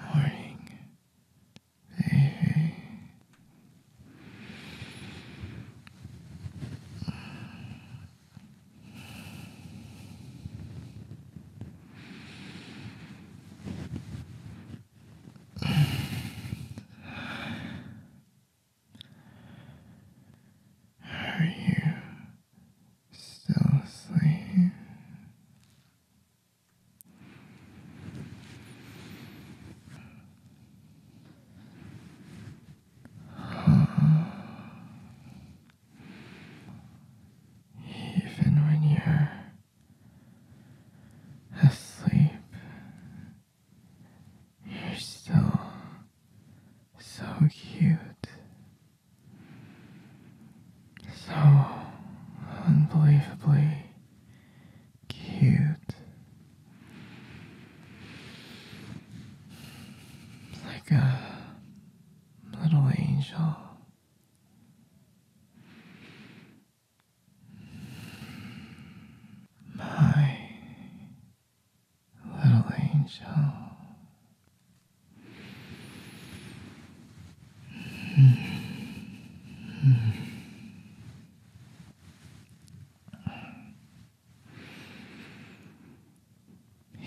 Morning, Hey, Are you still asleep? Even when you're asleep, you're still so cute, so unbelievably Cute. Like a little angel. My little angel.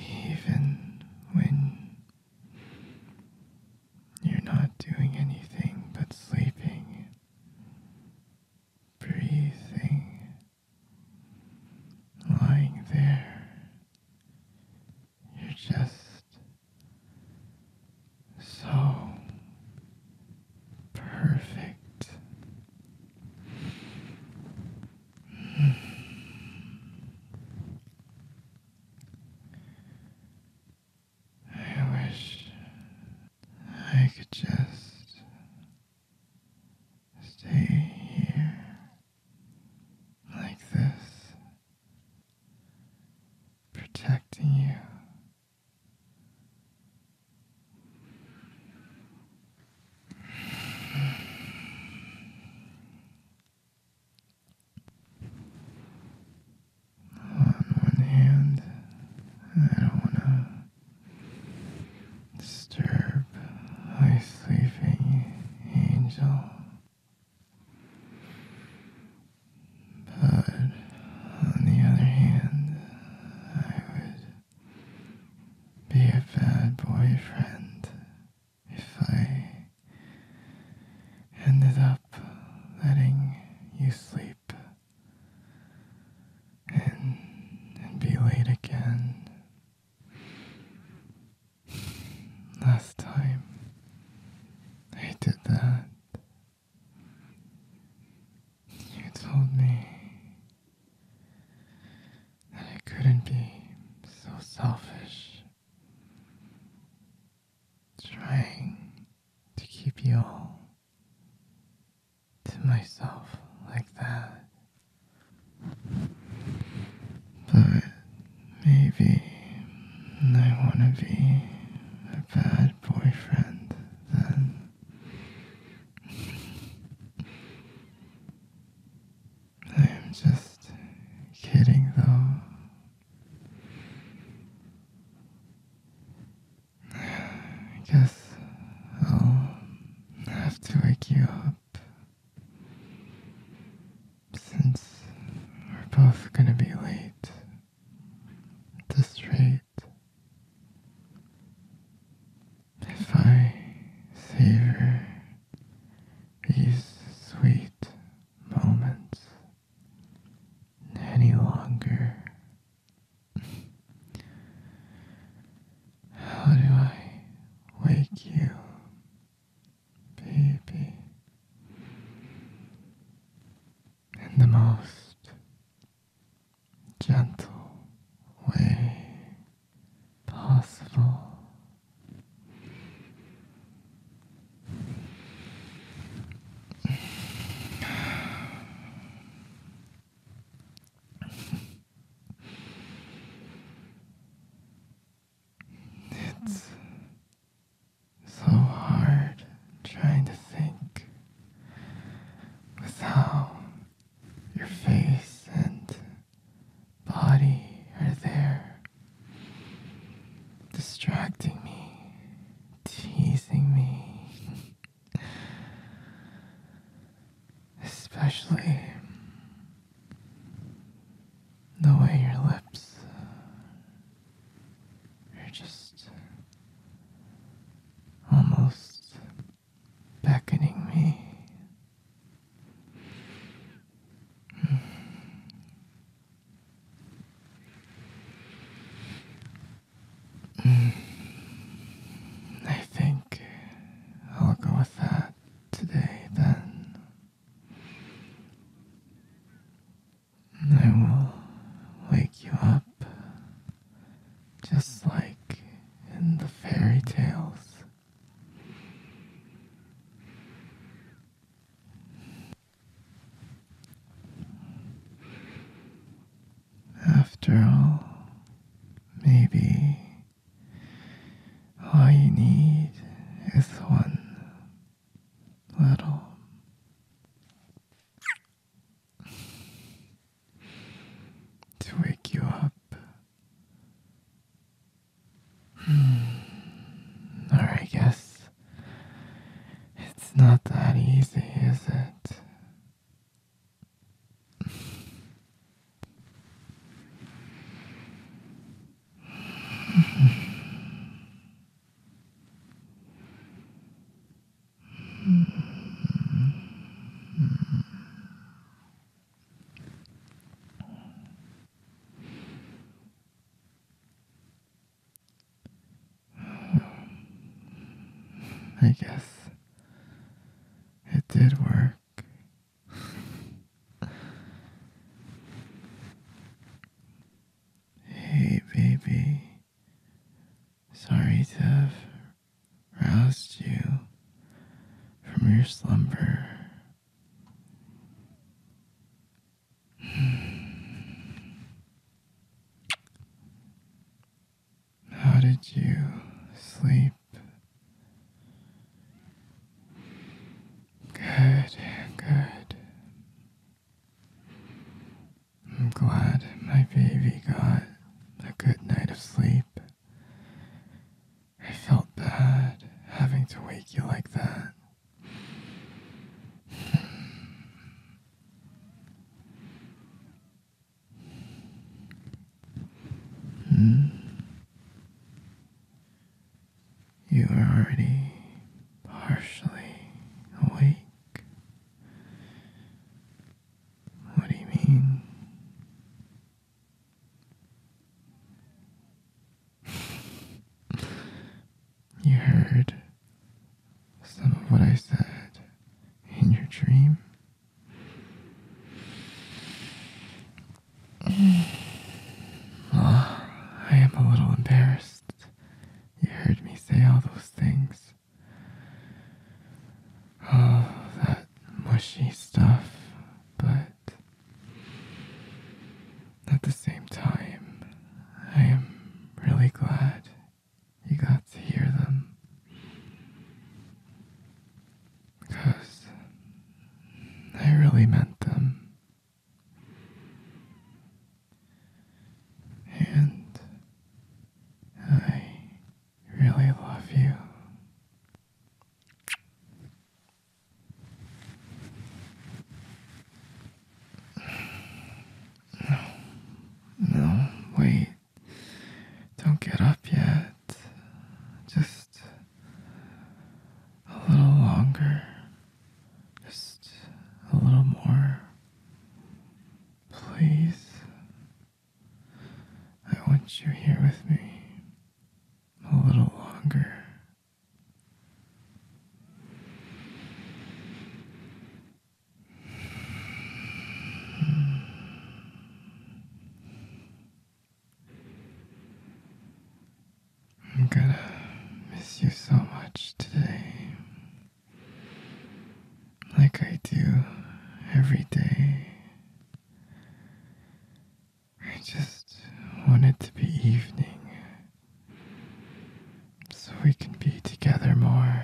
Even when you're not doing anything but sleeping, breathing, lying there, you're just so perfect. I wish I could just stay here like this protecting you. On one hand, I don't want to disturb my sleeping angel. But on the other hand, I would be a bad boyfriend if I ended up letting you sleep and and be late again. Last time I did that, you told me that I couldn't be so selfish, trying to keep you all to myself like that. But Maybe I want to be a bad boyfriend then. I'm just kidding though. I guess I'll have to wake you up. Since we're both gonna be late at this rate, if I savor these sweet moments any longer, how do I wake you? baby, in the most gentle way possible. It's so hard trying to think without your face and body are there, distracting me, teasing me, especially the way your lips are just almost beckoning me. I think I'll go with that today, then I will wake you up just like in the fairy tales. After all, maybe all you need is one little to wake you up. Hmm. Or I guess it's not that easy, is it? I guess it did work hey, baby. Sorry to have roused you from your slumber. How did you sleep? Good, good. I'm glad my baby got a good night of sleep. I felt bad having to wake you like that. Hmm? You are already partially awake. What do you mean? you heard some of what I said in your dream. I am a little embarrassed. You heard me say all those things. Oh, that mushy stuff, but at the same time, I am really glad you got to hear them. Because I really meant them. And I really love you. No, no, wait. Don't get up yet. Just a little longer. Just a little more. Please. I want you here with me a little longer. I'm gonna miss you so much today. Like I do every day. I just want it to be evening so we can be together more.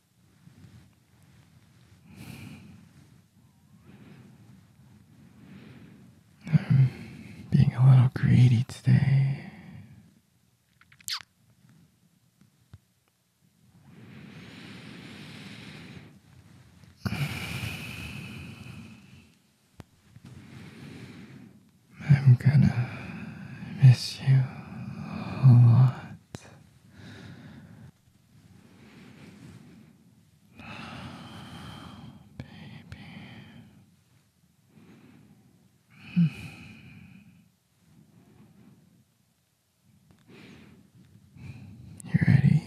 I'm being a little greedy today. I'm gonna miss you a lot. Baby. You ready?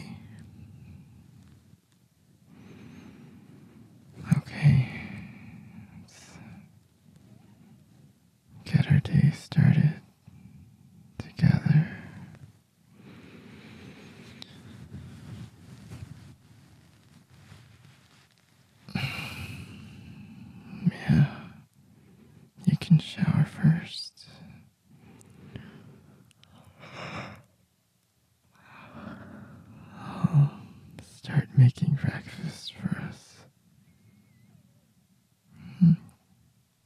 Okay get our day started together. Yeah, you can shower 1st start making breakfast for us. -hmm.